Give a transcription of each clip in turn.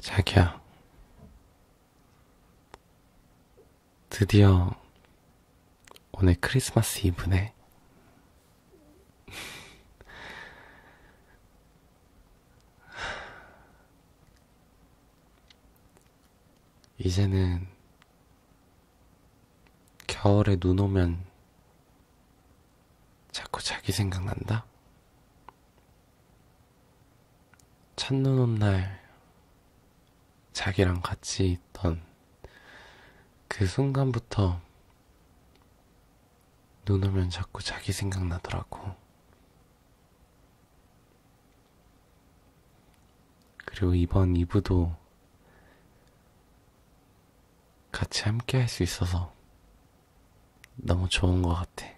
자기야 드디어 오늘 크리스마스 이브네. 이제는 겨울에 눈 오면 자꾸 자기 생각난다? 첫눈 온날 자기랑 같이 있던 그 순간부터 눈 오면 자꾸 자기 생각나더라고. 그리고 이번 2부도 같이 함께 할 수 있어서 너무 좋은 것 같아.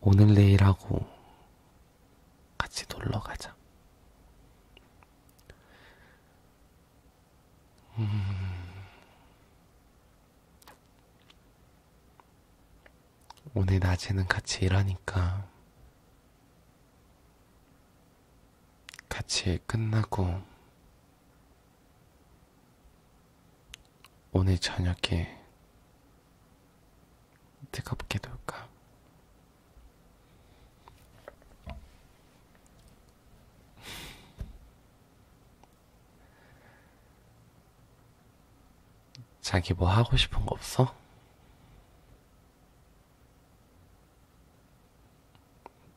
오늘 내일하고 같이 놀러 가자. 음... 오늘 낮에는 같이 일하니까 같이 끝나고 오늘 저녁에 뜨겁게 놀까? 자기 뭐 하고 싶은 거 없어?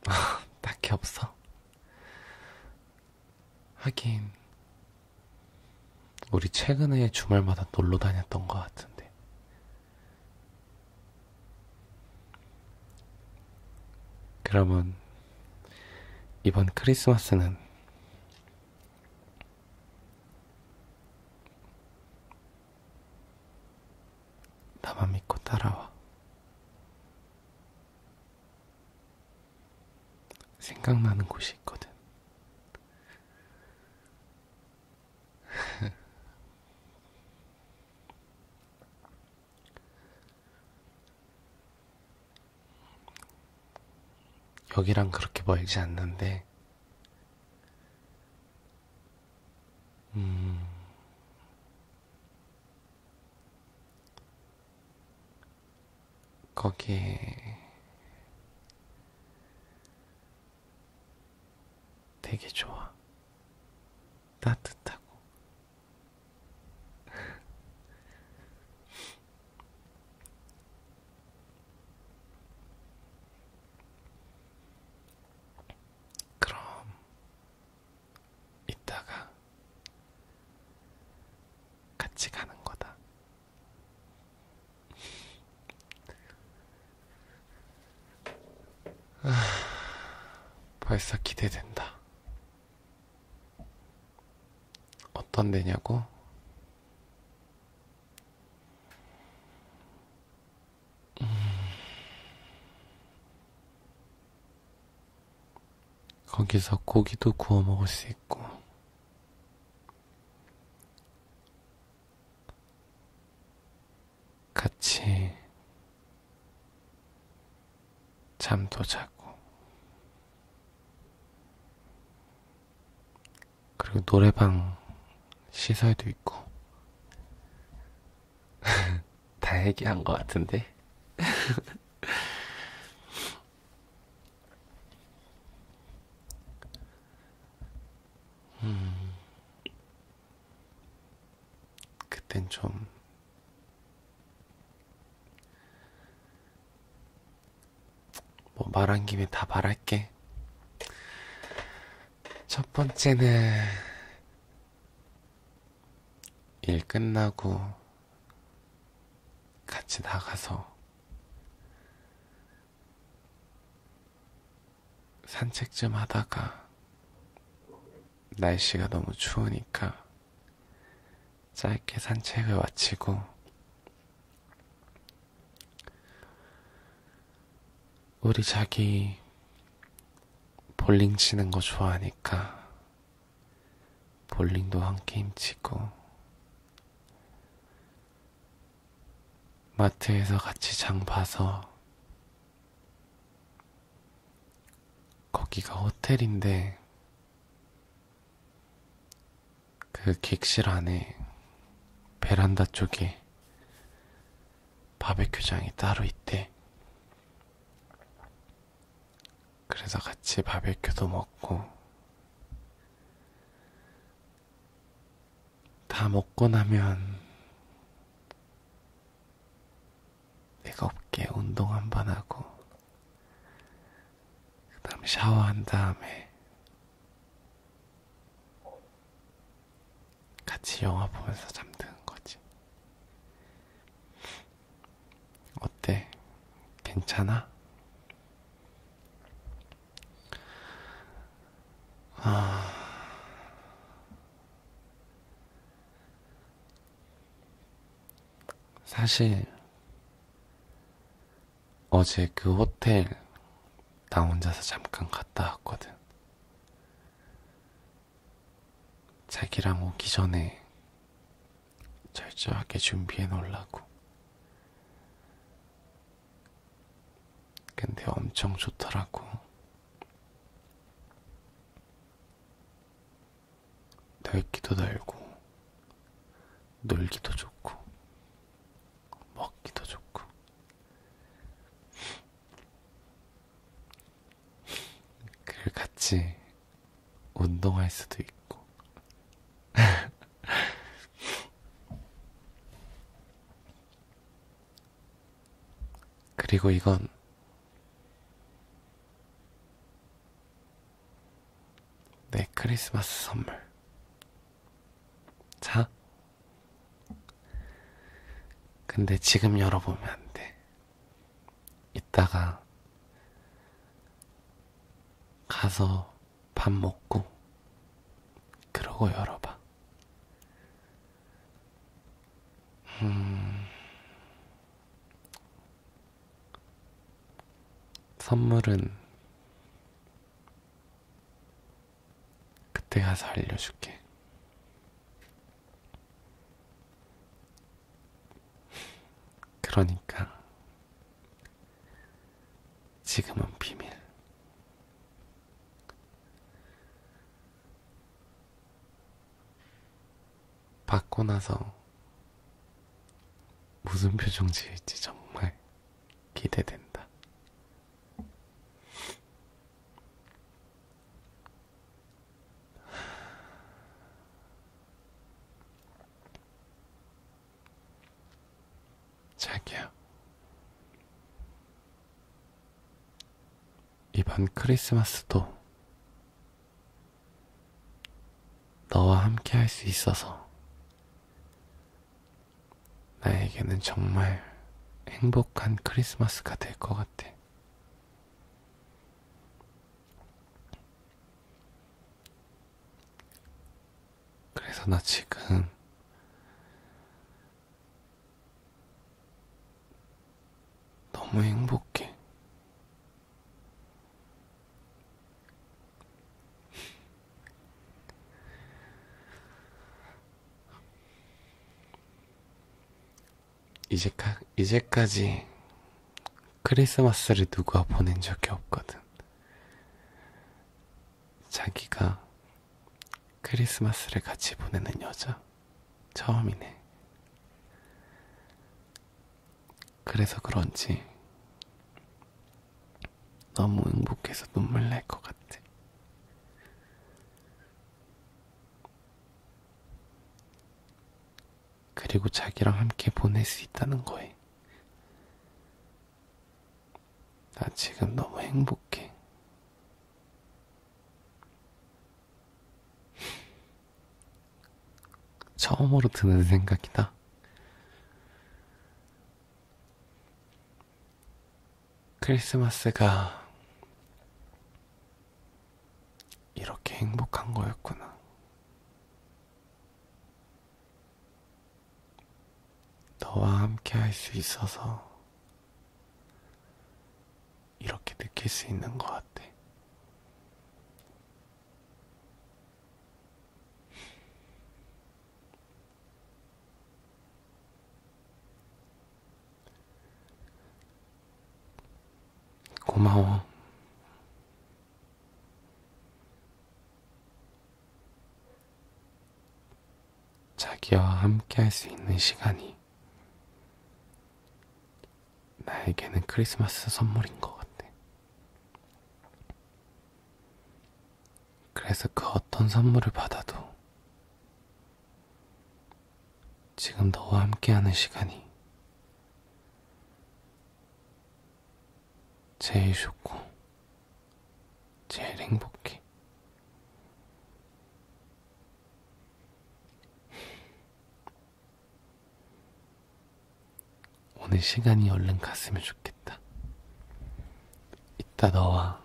딱히 없어? 하긴 우리 최근에 주말마다 놀러 다녔던 것 같은데 그러면 이번 크리스마스는 나만 믿고 따라와 생각나는 곳이 있거든. 여기랑 그렇게 멀지 않는데, 음, 거기에 되게 좋아. 따뜻하고. 그럼 있다가 같이 가는 거다. 아, 벌써 기대된다. 어떤 데냐고? 음, 거기서 고기도 구워 먹을 수 있고, 같이 잠도 자고, 그리고 노래방 시설도 있고, 다 얘기한 것 같은데. 음, 그땐 좀뭐 말한 김에 다 말할게. 첫 번째는 일 끝나고 같이 나가서 산책 좀 하다가 날씨가 너무 추우니까 짧게 산책을 마치고 우리 자기 볼링 치는 거 좋아하니까 볼링도 한 게임 치고 마트에서 같이 장 봐서 거기가 호텔인데 그 객실 안에 베란다 쪽에 바베큐장이 따로 있대. 그래서 같이 바베큐도 먹고 다 먹고 나면 뜨겁게 운동 한 번 하고 그 다음 샤워한 다음에 같이 영화 보면서 잠드는 거지. 어때? 괜찮아? 아... 사실 어제 그 호텔 나 혼자서 잠깐 갔다 왔거든. 자기랑 오기 전에 철저하게 준비해 놓으려고. 근데 엄청 좋더라고. 넓기도 넓고, 놀기도 좋고, 먹기도 좋고. 그 같이 운동할 수도 있고. 그리고 이건 내 크리스마스 선물. 자, 근데 지금 열어보면 안 돼. 이따가 가서 밥 먹고 그러고 열어봐. 음... 선물은 그때 가서 알려줄게. 그러니까 지금은 비밀. 받고 나서 무슨 표정 지을지 정말 기대된다. 자기야. 이번 크리스마스도 너와 함께 할 수 있어서 나에게는 정말 행복한 크리스마스가 될 것 같아. 그래서 나 지금 너무 행복해. 이제까, 이제까지 크리스마스를 누가 보낸 적이 없거든. 자기가 크리스마스를 같이 보내는 여자 처음이네. 그래서 그런지 너무 행복해서 눈물 날 것 같아. 그리고 자기랑 함께 보낼 수 있다는 거에 나 지금 너무 행복해. 처음으로 드는 생각이다. 크리스마스가 이렇게 행복한 거였구나. 너와 함께 할 수 있어서 이렇게 느낄 수 있는 것 같아. 고마워. 자기와 함께 할 수 있는 시간이 나에게는 크리스마스 선물인 것 같아. 그래서 그 어떤 선물을 받아도 지금 너와 함께하는 시간이 제일 좋고 제일 행복해. 오늘 시간이 얼른 갔으면 좋겠다. 있다 너와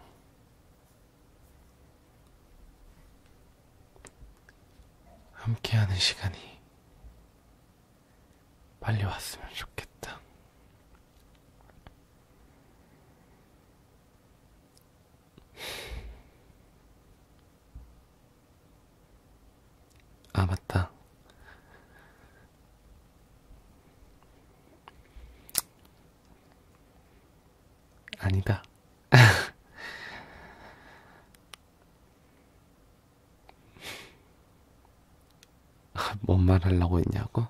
함께하는 시간이 빨리 왔으면 좋겠다. 아, 맞다. 아니다. 뭔 말 하려고 했냐고?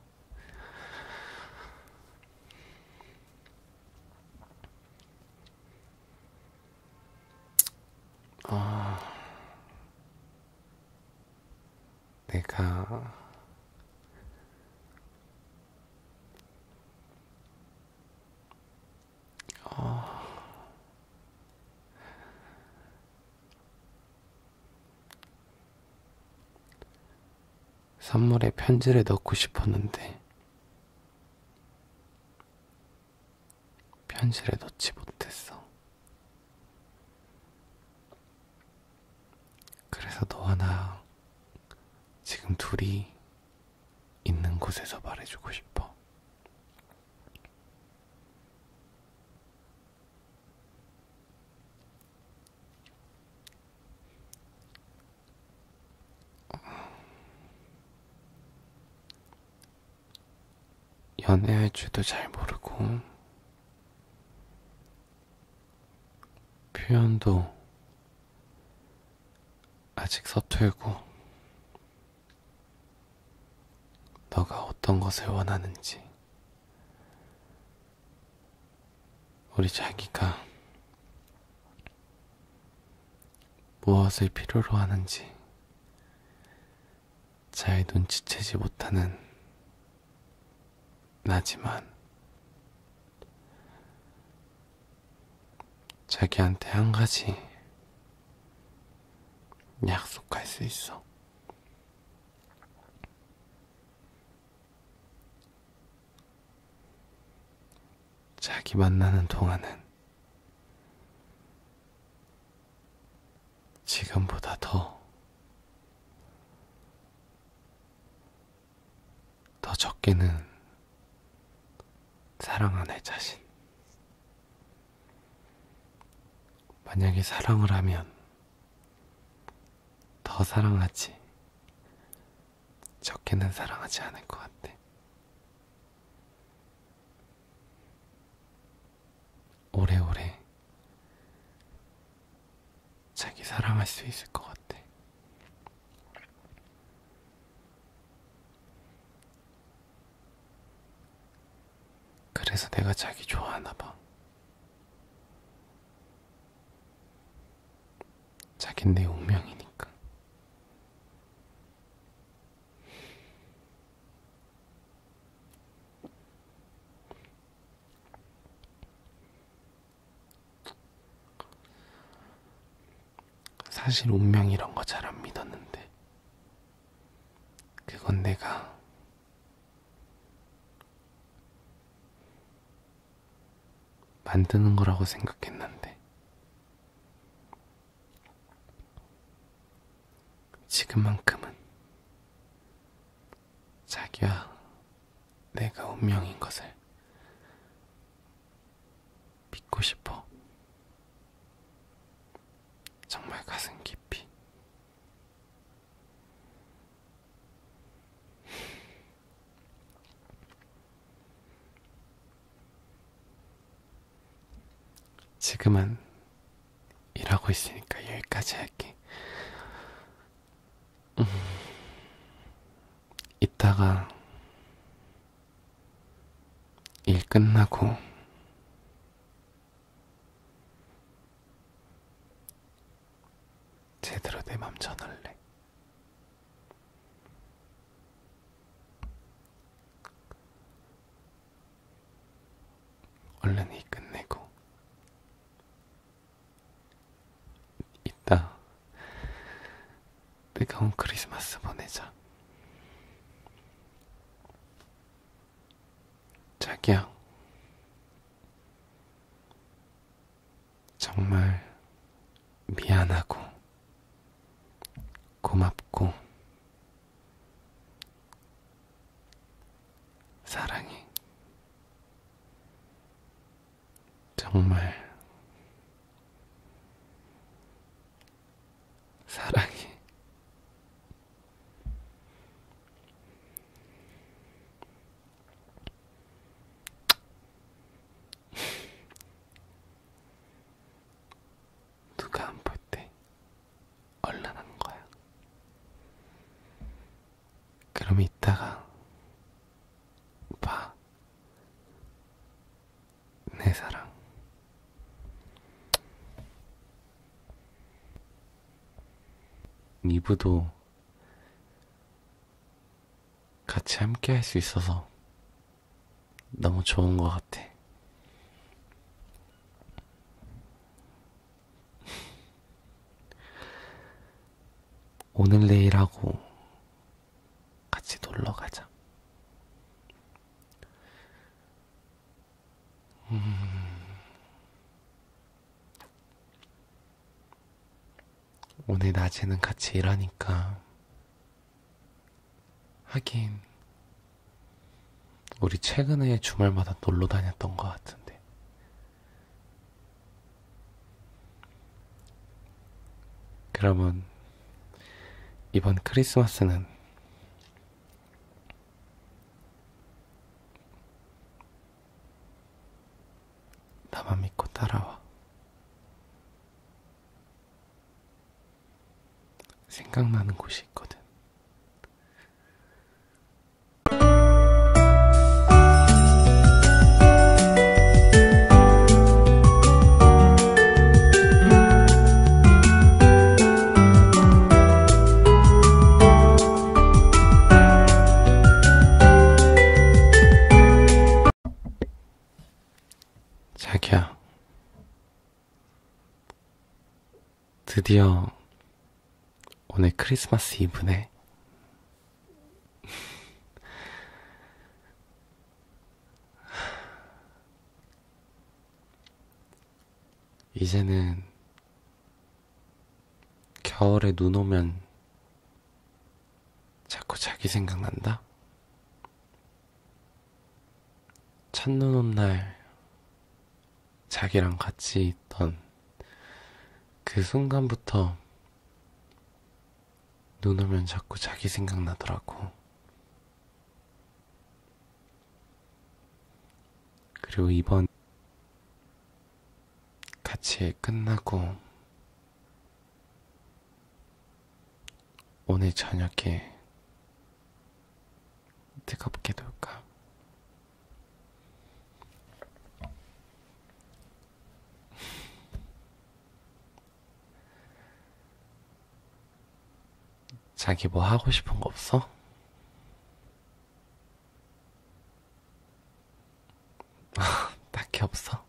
아, 내가 어... 선물에 편지를 넣고 싶었는데 편지를 넣지 못했어. 그래서 너와 나 지금 둘이 있는 곳에서 말해주고 싶어. 연애할 줄도 잘 모르고 표현도 아직 서툴고 너가 어떤 것을 원하는지 우리 자기가 무엇을 필요로 하는지 잘 눈치채지 못하는 나지만 자기한테 한 가지 약속할 수 있어. 자기 만나는 동안은 지금보다 더, 더 적게는 사랑하는 자신. 만약에 사랑을 하면 더 사랑하지, 적게는 사랑하지 않을 것 같아. 오래오래 자기 사랑할 수 있을 것 같아. 그래서 내가 자기 좋아하나 봐. 자긴 내 운명이니까. 사실 운명 이런 거 잘 안 믿었는데 그건 내가 만드는 거라고 생각했는데 지금만큼은 자기와 내가 운명인 것을 믿고 싶어. 정말 가슴 깊이. 지금은 일하고 있으니까 여기까지 할게. 음, 이따가 일 끝나고 제대로 내 맘 전할래. 얼른히 끝내고 이따 뜨거운 크리스마스 보내자. 자기야, 정말 미안하고 고맙고 사랑이 정말 사랑이 누가 안 볼 때 얼른하는 거야. 그럼 이따가 봐. 내 사랑. 미부도 같이 함께 할 수 있어서 너무 좋은 것 같아. 오늘 내일 하고 같이 놀러 가자. 음... 오늘 낮에는 같이 일하니까 하긴 우리 최근에 주말마다 놀러 다녔던 것 같은데 그러면 이번 크리스마스는 나만 믿고 따라와. 생각나는 곳이 있거든. 자기야, 드디어 오늘 크리스마스 이브네. 이제는 겨울에 눈 오면 자꾸 자기 생각난다? 첫눈 온 날 자기랑 같이 있던 그 순간부터 눈 오면 자꾸 자기 생각나더라고. 그리고 이번 같이 끝나고 오늘 저녁에 뜨겁게 놀까? 자기 뭐 하고 싶은 거 없어? 딱히 없어.